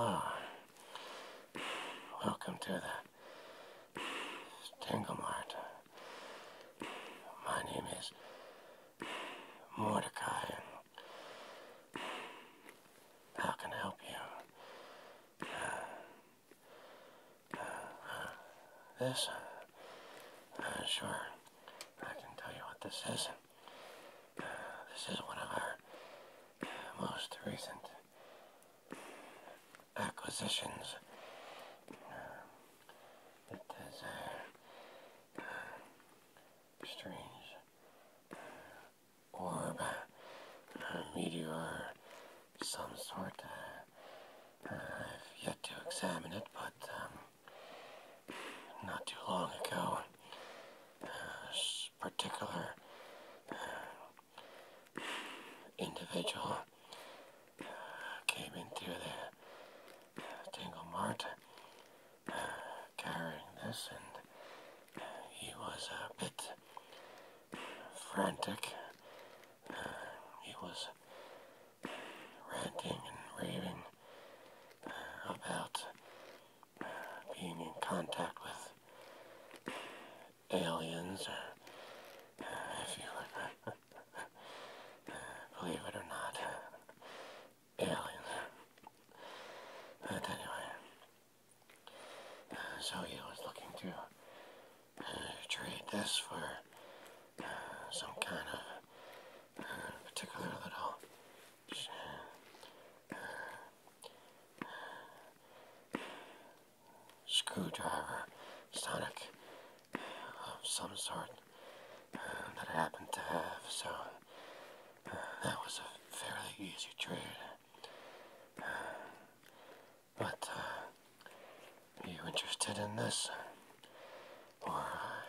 Ah, welcome to the Tanglemart. My name is Mordecai. How can I help you? Uh, uh, uh, this? sure. I can tell you what this is. this is one of our most recent acquisitions. Uh, it is a uh, uh, strange orb, uh, meteor, some sort. Uh, I've yet to examine it, but um, not too long ago, this particular individual came in through the Tangle Mart uh, carrying this, and he was a bit frantic. Uh, he was ranting and raving uh, about being in contact with aliens or uh, if you believe it or not, uh, But anyway, uh, so he was looking to uh, trade this for uh, some kind of particular little screwdriver, sonic of some sort uh, that happened to have, so uh, that was a fairly easy trade. Uh, but are you interested in this? Or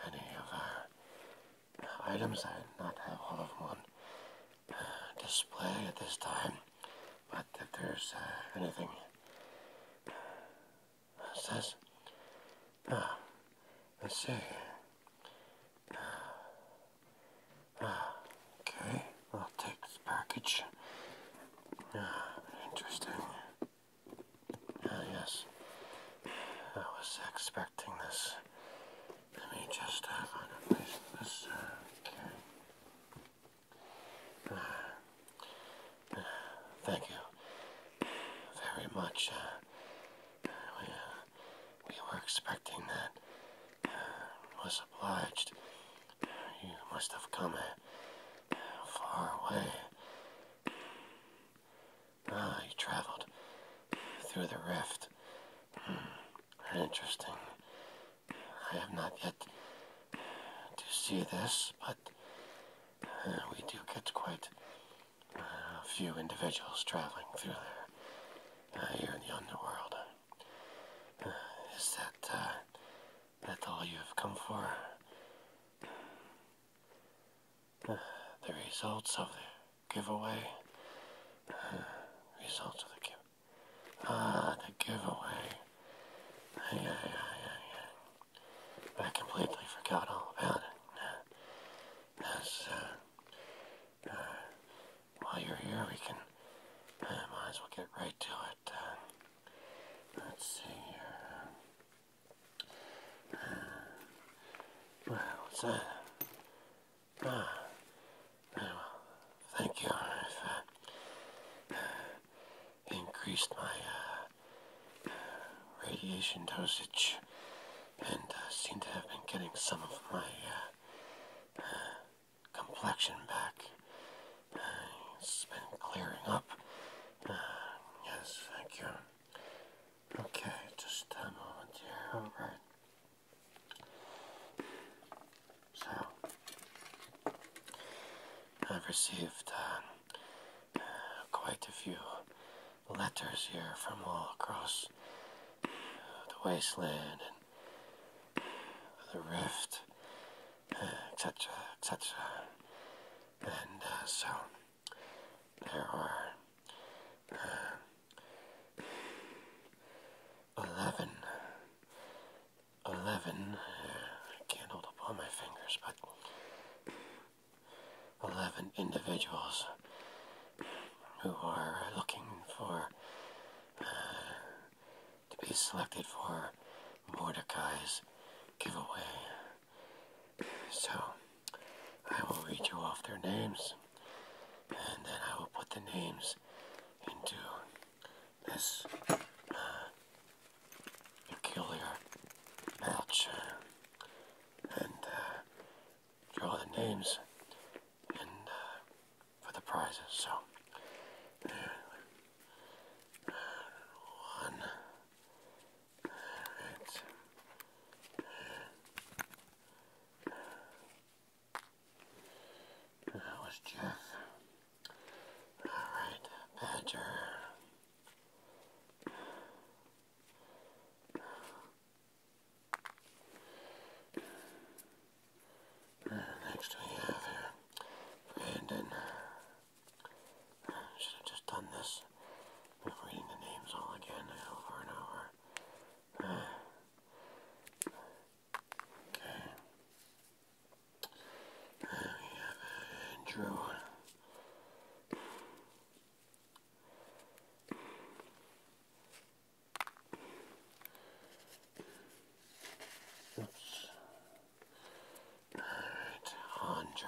any of our items? I did not have all of them on display at this time but if there's uh, anything that says, ah, let's see. Ah, okay, I'll take this package. Ah, interesting. yes, I was expecting this. Let me just uh, find a place for this. Uh, Thank you very much. Uh, uh, we, were expecting that. Uh, was obliged. You must have come far away. Ah, you traveled through the rift. Hmm, interesting. I have not yet to see this, but uh, we do get quite a uh, few individuals traveling through there uh, here in the underworld. is that that all you have come for? the results of the giveaway. results of the giveaway. Ah, the giveaway. Ay, ay, ay, I completely forgot all about it. As, uh, uh, while you're here, we can, uh, might as well get right to it. Uh. let's see here. well, what's that? Ah, well. Thank you increased my uh, radiation dosage and uh, seem to have been getting some of my uh, complexion back. it's been clearing up. yes, thank you. Okay, just a moment here. Alright. So I've received uh, uh, quite a few letters here from all across the wasteland and the rift, etc., uh, etc. Et and uh, so there are 11. 11. I can't hold up all my fingers, but 11 individuals who are looking for uh, to be selected for Mordecai's giveaway. So I will read you off their names and then I will put the names into this peculiar match, and uh, draw the names and uh, for the prizes. So. one, That was Jeff. Alright, Badger. Next we have Brandon. should have just done this. I'm reading the names all again over and over. Okay. There we All right, Andre.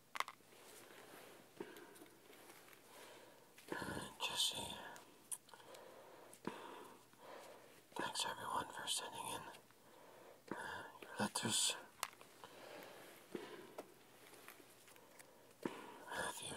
Jesse. Thanks everyone for sending in uh, your letters. Matthew.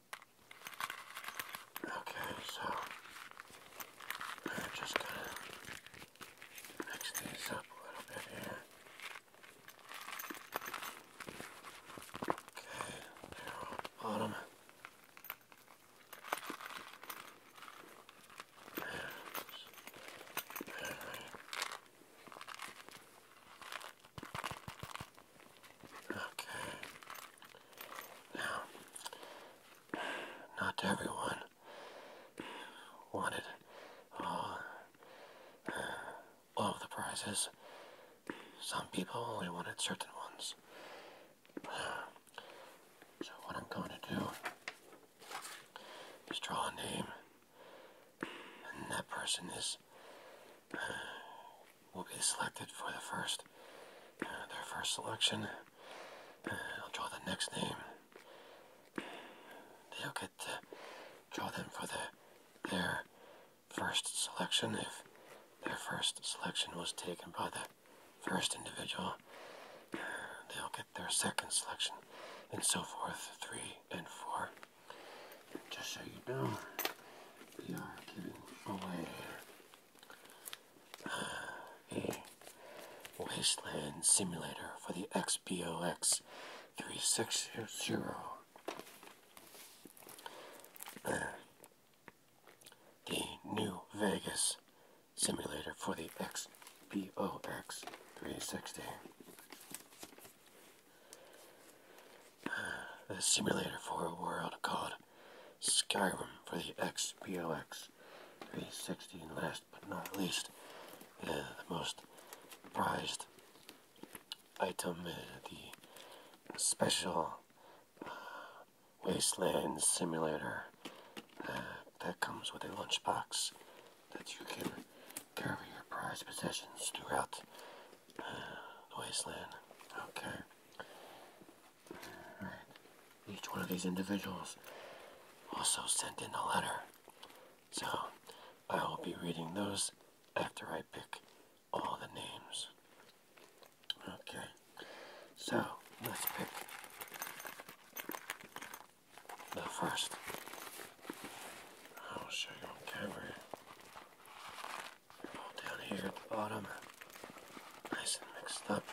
Okay, so we're just gonna mix these up a little bit here. Okay, they're on the bottom. Alright. Okay. Now, not everyone wanted all, of the prizes. Some people only wanted certain ones. So what I'm going to do is draw a name, and that person is will be selected for the first, uh, their first selection. Uh, I'll draw the next name. They'll get to draw them for the, their first selection. If their first selection was taken by the first individual, uh, they'll get their second selection, and so forth, three and four. Just so you know, we are giving away a wasteland simulator for the XBOX 360. the New Vegas simulator for the XBOX 360. the simulator for a world called Skyrim for the XBLX 360. And last but not least, uh, the most prized item, uh, the special uh, Wasteland Simulator that comes with a lunchbox that you can carry your prized possessions throughout the wasteland. Okay. Each one of these individuals also sent in a letter. So I will be reading those after I pick all the names. Okay, so let's pick the first. I'll show you on camera all down here at the bottom, nice and mixed up.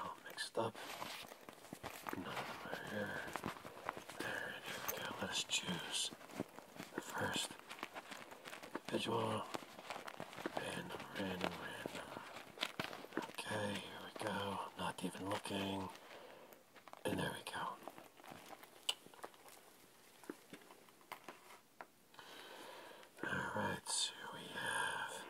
all mixed up. None here. Alright, we go. Let us choose the first individual. Random, random, random. Okay, here we go. Not even looking. And there we go. Alright, so we have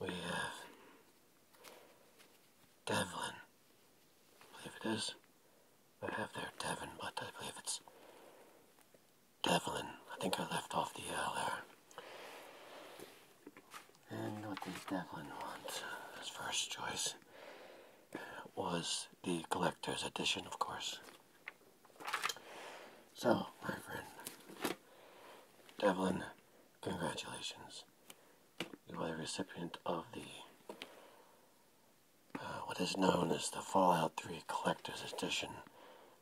we have Devlin, I believe it is. I have there Devon, but I believe it's Devlin. I think I left off the L there. And what did Devlin want? His first choice was the collector's edition, of course. So, my friend, Devlin, congratulations. You are the recipient of the uh, what is known as the Fallout 3 Collector's Edition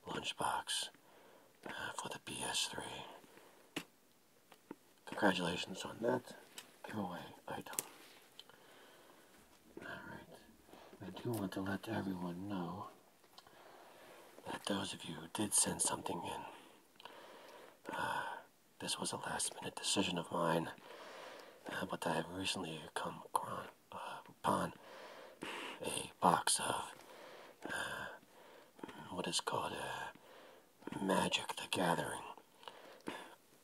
lunchbox for the PS3. Congratulations on that giveaway item. Alright, I do want to let everyone know that those of you who did send something in, uh, this was a last minute decision of mine, uh, but I have recently come upon uh, a box of what is called a uh, Magic the Gathering.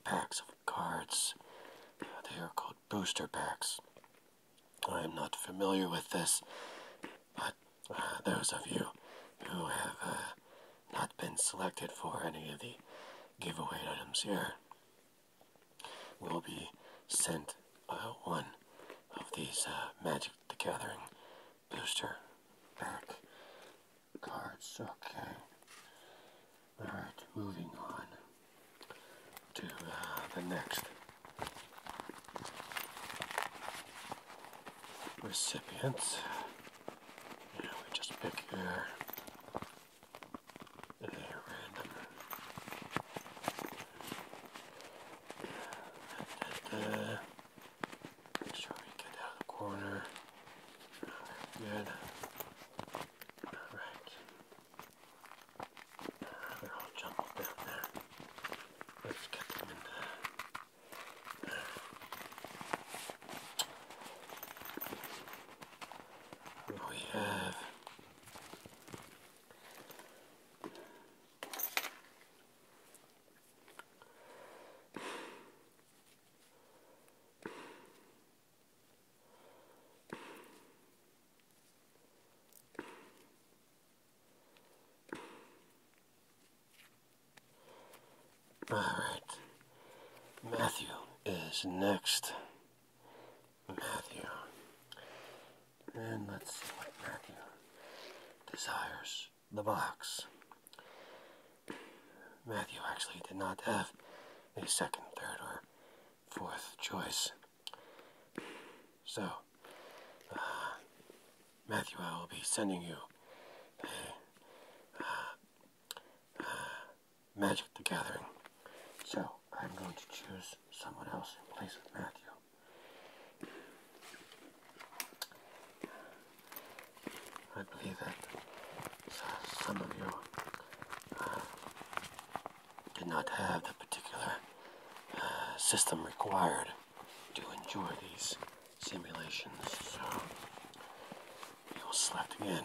Packs of cards. They are called booster packs. I am not familiar with this, but uh, those of you who have uh, not been selected for any of the giveaway items here will be sent one of these Magic the Gathering booster back cards. Okay. Alright, moving on to uh, the next recipients. Yeah, we just pick here. Uh, Make sure we get out of the corner. Good. Alright. They're all jumbled down there. Let's get them in there. We have all right. Matthew is next. Matthew. And let's see what Matthew desires the box. Matthew actually did not have a second, third, or fourth choice. So, uh, Matthew, I will be sending you uh, uh, Magic the Gathering. So, I'm going to choose someone else in place of Matthew. I believe that uh, some of you uh, did not have the particular uh, system required to enjoy these simulations, so you will again.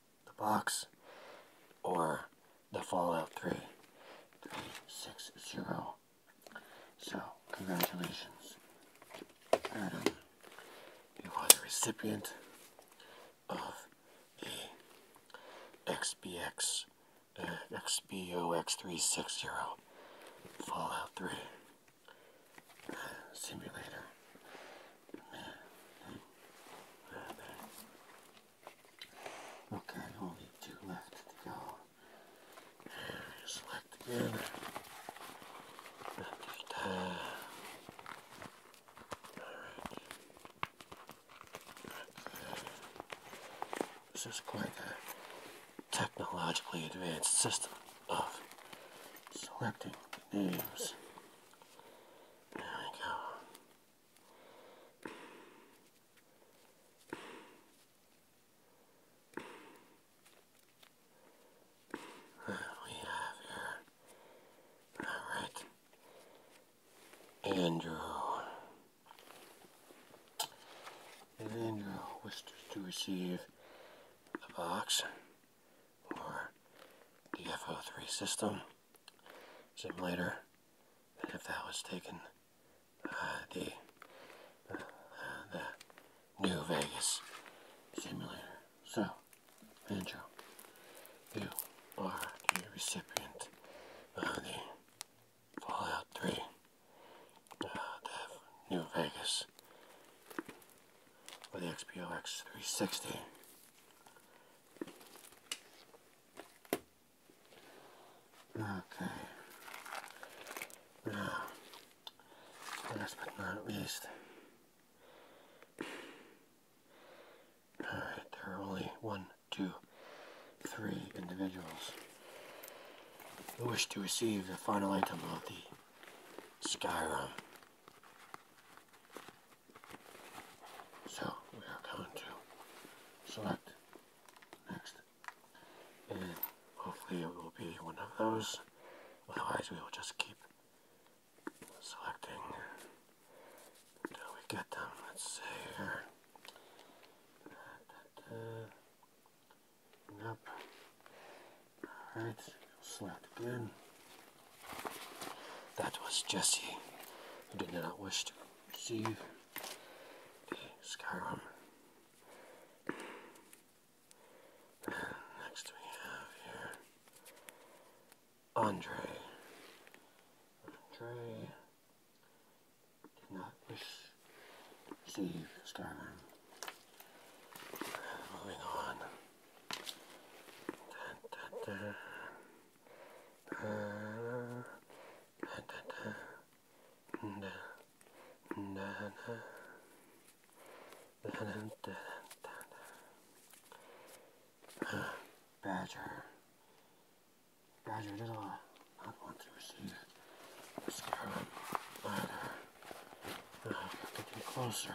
the box or the Fallout 3 360. So, congratulations, You are the recipient of the XBX XBOX360 uh, Fallout 3 simulator. Okay, only two left to go. Just let This is quite a technologically advanced system of selecting names. There we go. There we have here, alright, Andrew. Andrew wishes to receive the box or the FO3 system, simulator and if that was taken uh, the, uh, the New Vegas simulator. So, Andrew, you are the recipient of the Fallout 3 uh, New Vegas for the XPOX 360 Okay. last but not least, all right, there are only one, two, three individuals who wish to receive the final item of the Skyrim so we are going to select next, and hopefully it will be one of those. Otherwise, we will just keep selecting until we get them. Let's see here. Alright, select again. That was Jesse, who did not wish to receive the Skyrim. Next we have Andre. Andre did not wish to receive Skyrim. Moving on. Badger. Badger did I want to receive the scarlet ladder. Uh, getting closer.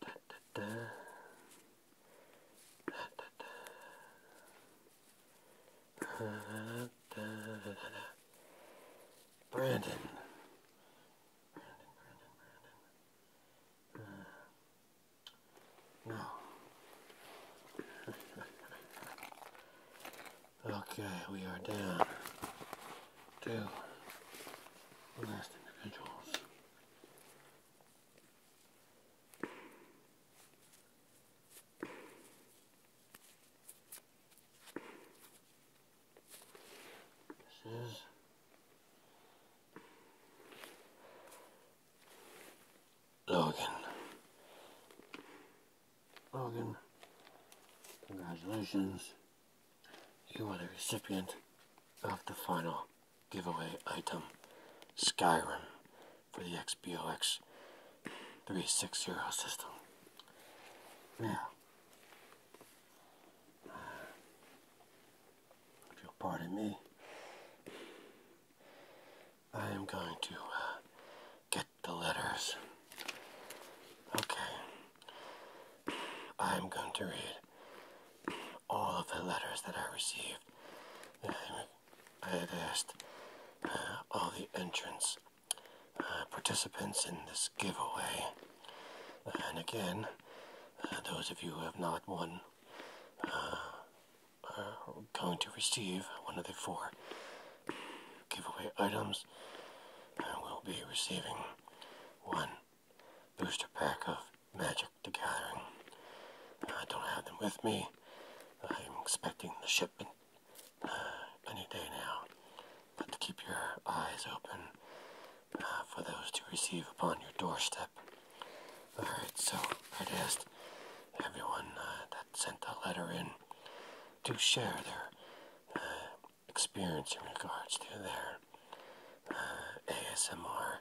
Da, da, da. Da, da, da. Brandon. Brandon, Brandon, Brandon. no. okay, we are down. Two last individuals. This is Logan. Logan, congratulations. You are the recipient of the final giveaway item, Skyrim, for the XBOX 360 system. Now, if you'll pardon me, I am going to uh, get the letters. Okay. I'm going to read all of the letters that I received. I had asked uh, all the entrants, uh, participants in this giveaway. And again, uh, those of you who have not won are going to receive one of the four giveaway items. I will be receiving one booster pack of Magic to Gathering. I don't have them with me. I'm expecting the shipment uh, any day now. But to keep your eyes open uh, for those to receive upon your doorstep. Alright, so I'd asked everyone uh, that sent a letter in to share their experience in regards to their uh, ASMR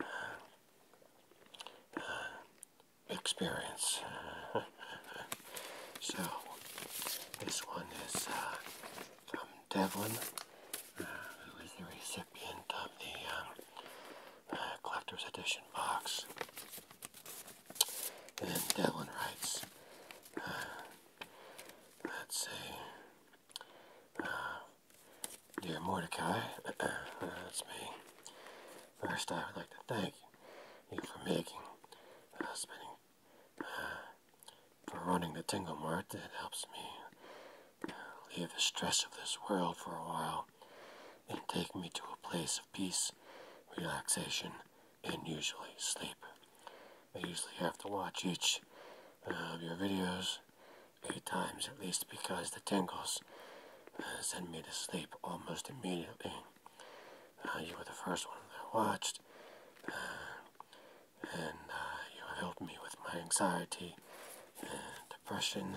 uh, uh, experience. so, this one is from Devlin, who is the recipient of the um, Collector's Edition box. And Devlin writes, Let's see. Uh, dear Mordecai, uh, uh, that's me. First, I would like to thank you for making, uh, spending, for running the Tingle Mart. It helps me leave the stress of this world for a while and take me to a place of peace, relaxation, and usually sleep. I usually have to watch each uh, of your videos eight times at least because the tingles uh, send me to sleep almost immediately. Uh, you were the first one that I watched, and you helped me with my anxiety and depression,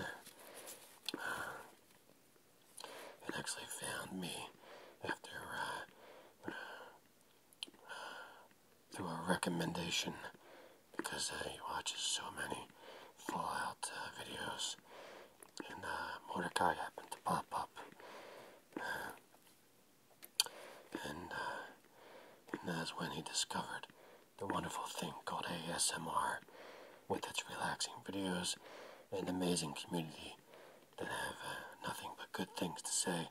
and actually found me after through a recommendation because he watches so many Fallout uh, videos, and uh, Mordecai happened to pop up, uh, uh, and that's when he discovered the wonderful thing called ASMR, with its relaxing videos and amazing community that have nothing but good things to say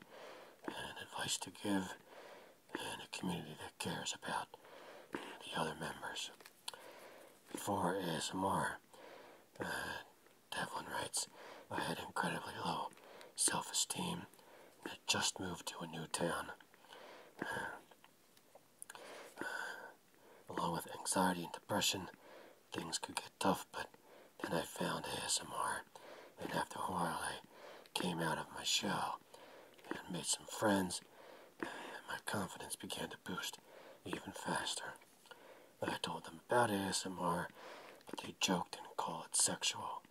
and advice to give and a community that cares about the other members. Before ASMR, more. Uh, Devlin writes, I had incredibly low self esteem I had just moved to a new town. Uh, along with anxiety and depression, things could get tough, but then I found ASMR, and after a while I came out of my shell and made some friends, and my confidence began to boost even faster. I told them about ASMR, but they joked and called it sexual.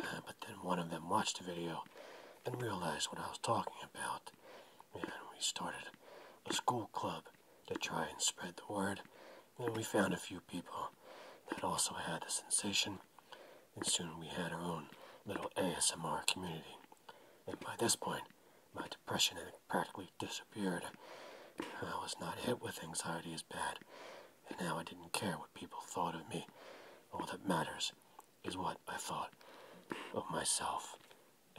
Uh, but then one of them watched the video and realized what I was talking about, and we started a school club to try and spread the word and we found a few people that also had the sensation, and soon we had our own little ASMR community. And by this point, my depression had practically disappeared. I was not hit with anxiety as bad, and now I didn't care what people thought of me. All that matters is what I thought of myself,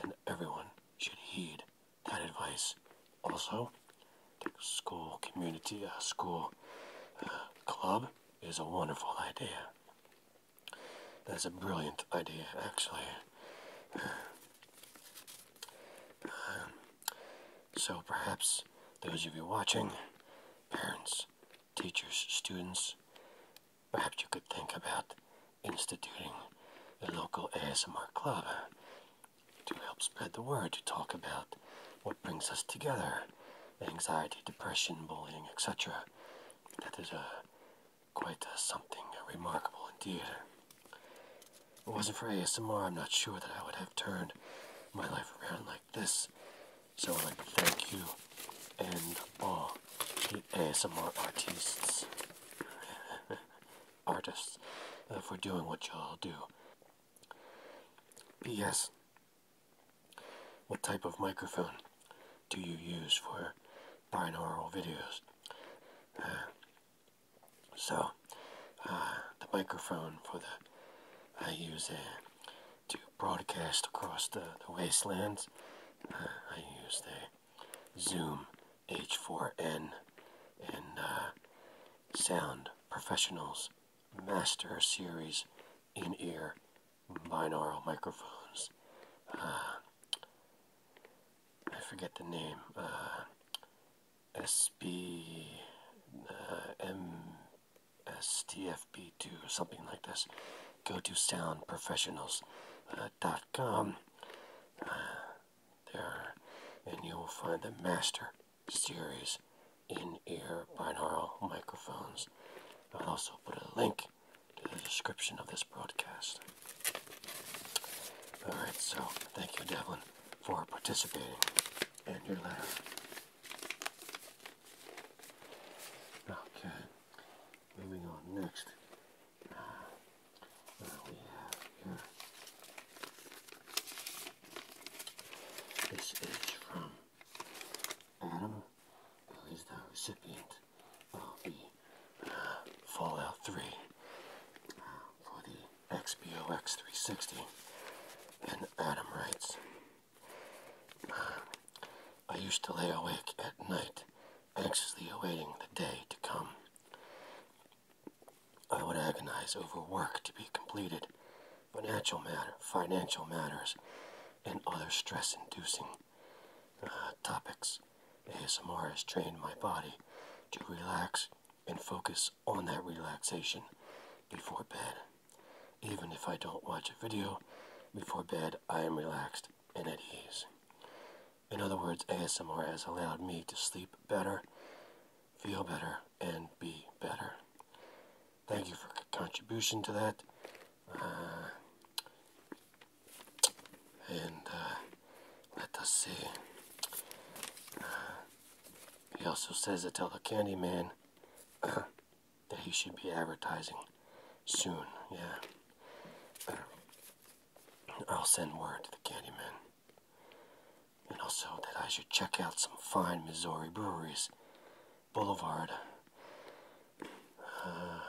and everyone should heed that advice. Also, School community, a uh, school uh, club is a wonderful idea. That's a brilliant idea, actually. so perhaps those of you watching, parents, teachers, students, perhaps you could think about instituting a local ASMR club to help spread the word, to talk about what brings us together anxiety, depression, bullying, etc. That is a, quite something remarkable indeed. it wasn't for ASMR, I'm not sure that I would have turned my life around like this. So I'd like to thank you and all ASMR artists, artists, uh, for doing what y'all do. P.S. What type of microphone do you use for binaural videos? Uh, so, uh, the microphone for the I use to broadcast across the, the wastelands. Uh, I use the Zoom H4n and Sound Professionals Master Series in ear binaural microphones. Uh, I forget the name. Uh, SB uh, MSTFP2, something like this. Go to soundprofessionals.com. Uh, there, and you will find the master series in-ear binaural microphones. I'll also put a link to the description of this broadcast. Alright, so thank you, Devlin, for participating in your letter. Okay, moving on next. Uh, uh, we have here this is from Adam, who is the recipient of the uh, Fallout 3 uh, for the XBOX 360. And Adam writes, I used to lay awake at night, anxiously awaiting the day to come. I would agonize over work to be completed financial matter, financial matters, and other stress-inducing uh, topics. ASMR has trained my body to relax and focus on that relaxation before bed. Even if I don't watch a video before bed, I am relaxed and at ease. In other words, ASMR has allowed me to sleep better feel better, and be better. Thank you for contribution to that. Uh, and uh, let us see. Uh, he also says to tell the candy man that he should be advertising soon. Yeah. I'll send word to the candy man and also that I should check out some fine Missouri breweries. Boulevard. Uh,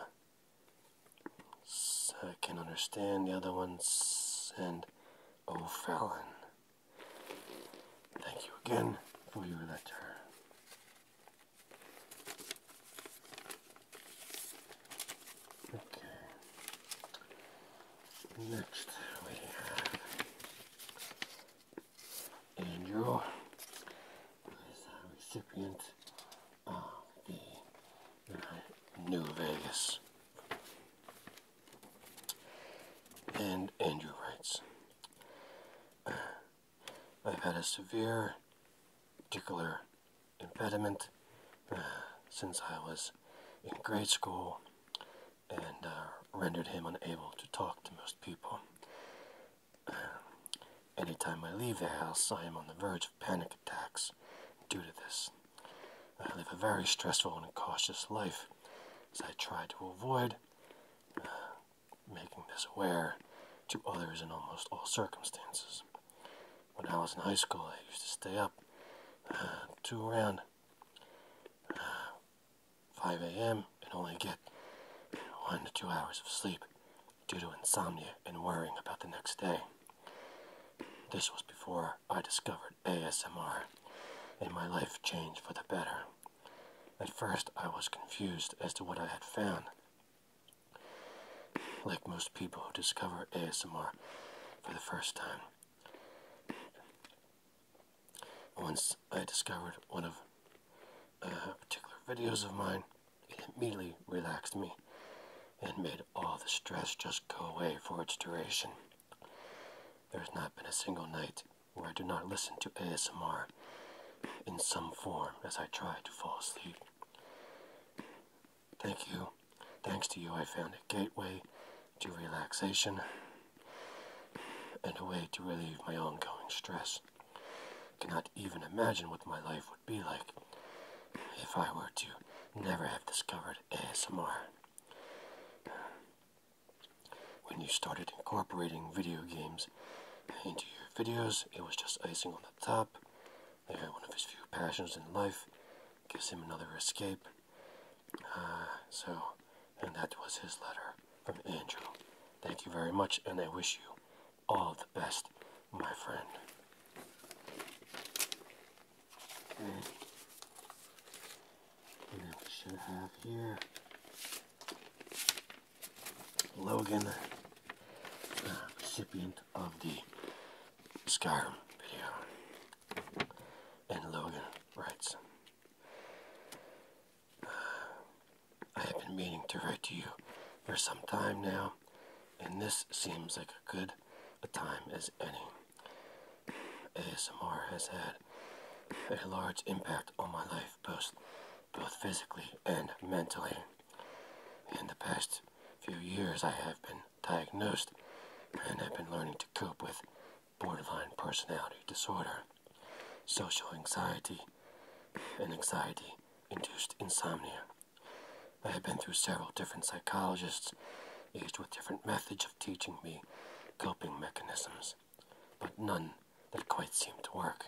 I can understand the other ones, and O'Fallon. Thank you again for your letter. Okay. Next we have Andrew is a recipient of the uh, New Vegas. And Andrew writes, uh, I've had a severe particular impediment uh, since I was in grade school and uh, rendered him unable to talk to most people. Uh, Any time I leave the house, I am on the verge of panic attacks due to this. I live a very stressful and cautious life as I try to avoid uh, making this aware to others in almost all circumstances. When I was in high school, I used to stay up uh, to around 5 a.m. and only get 1 to 2 hours of sleep due to insomnia and worrying about the next day. This was before I discovered ASMR and my life changed for the better. At first, I was confused as to what I had found. Like most people who discover ASMR for the first time, once I discovered one of uh, particular videos of mine, it immediately relaxed me and made all the stress just go away for its duration. There has not been a single night where I do not listen to ASMR in some form as I try to fall asleep. Thank you. Thanks to you, I found a gateway to relaxation and a way to relieve my ongoing stress. I cannot even imagine what my life would be like if I were to never have discovered ASMR. When you started incorporating video games into your videos, it was just icing on the top. They had one of his few passions in life, gives him another escape. Uh, so, and that was his letter from Andrew. Thank you very much, and I wish you all the best, my friend. And we should have here Logan, uh, recipient of the Skyrim video. And Logan writes. I have been meaning to write to you for some time now, and this seems like a good a time as any. ASMR has had a large impact on my life, both, both physically and mentally. In the past few years, I have been diagnosed and have been learning to cope with borderline personality disorder, social anxiety, and anxiety induced insomnia. I have been through several different psychologists, used with different methods of teaching me coping mechanisms, but none that quite seemed to work.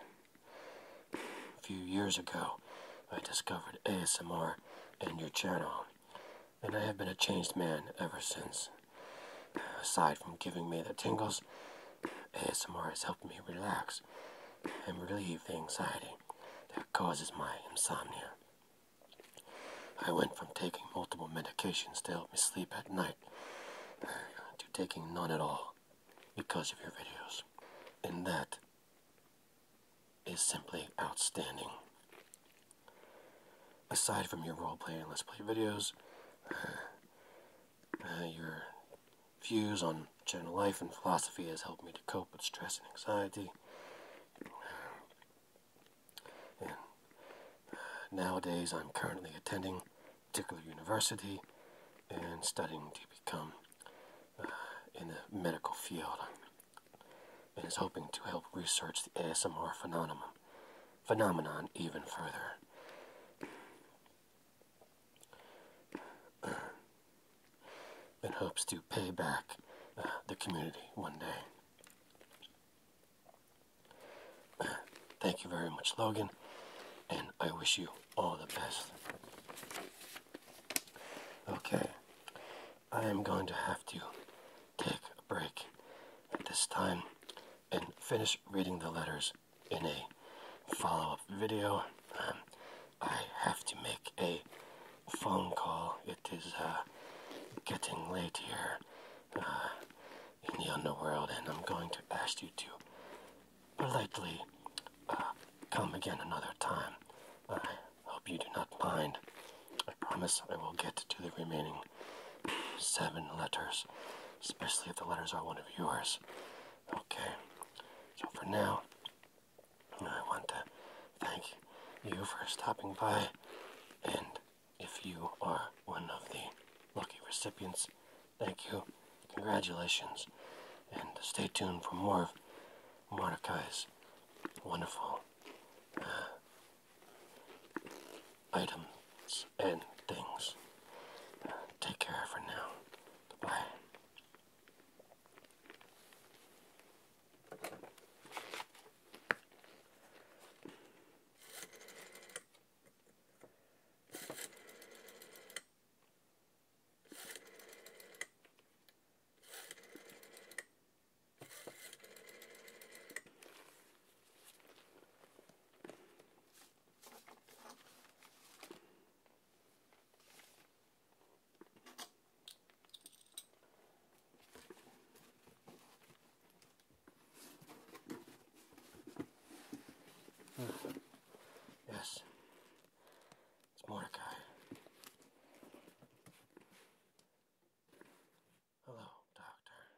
A few years ago, I discovered ASMR and your channel, and I have been a changed man ever since. Aside from giving me the tingles, ASMR has helped me relax and relieve the anxiety that causes my insomnia. I went from taking multiple medications to help me sleep at night to taking none at all because of your videos. And that is simply outstanding. Aside from your role-playing, let's play videos, uh, your views on general life and philosophy has helped me to cope with stress and anxiety. Uh, uh, nowadays, I'm currently attending a particular university and studying to become in the medical field and is hoping to help research the ASMR phenomenon even further uh, in hopes to pay back uh, the community one day. thank you very much, Logan, and I wish you all the best. Okay, I am going to have to take a break at this time and finish reading the letters in a follow-up video. Um, I have to make a phone call. It is uh, getting late here uh, in the underworld, and I'm going to ask you to politely uh, come again another time. I hope you do not mind. I promise I will get to the remaining seven letters especially if the letters are one of yours. Okay, so for now, I want to thank you for stopping by, and if you are one of the lucky recipients, thank you, congratulations, and stay tuned for more of Mordecai's wonderful uh, items and things. Uh, take care for now. Bye yes, it's Mordecai. Hello, Doctor.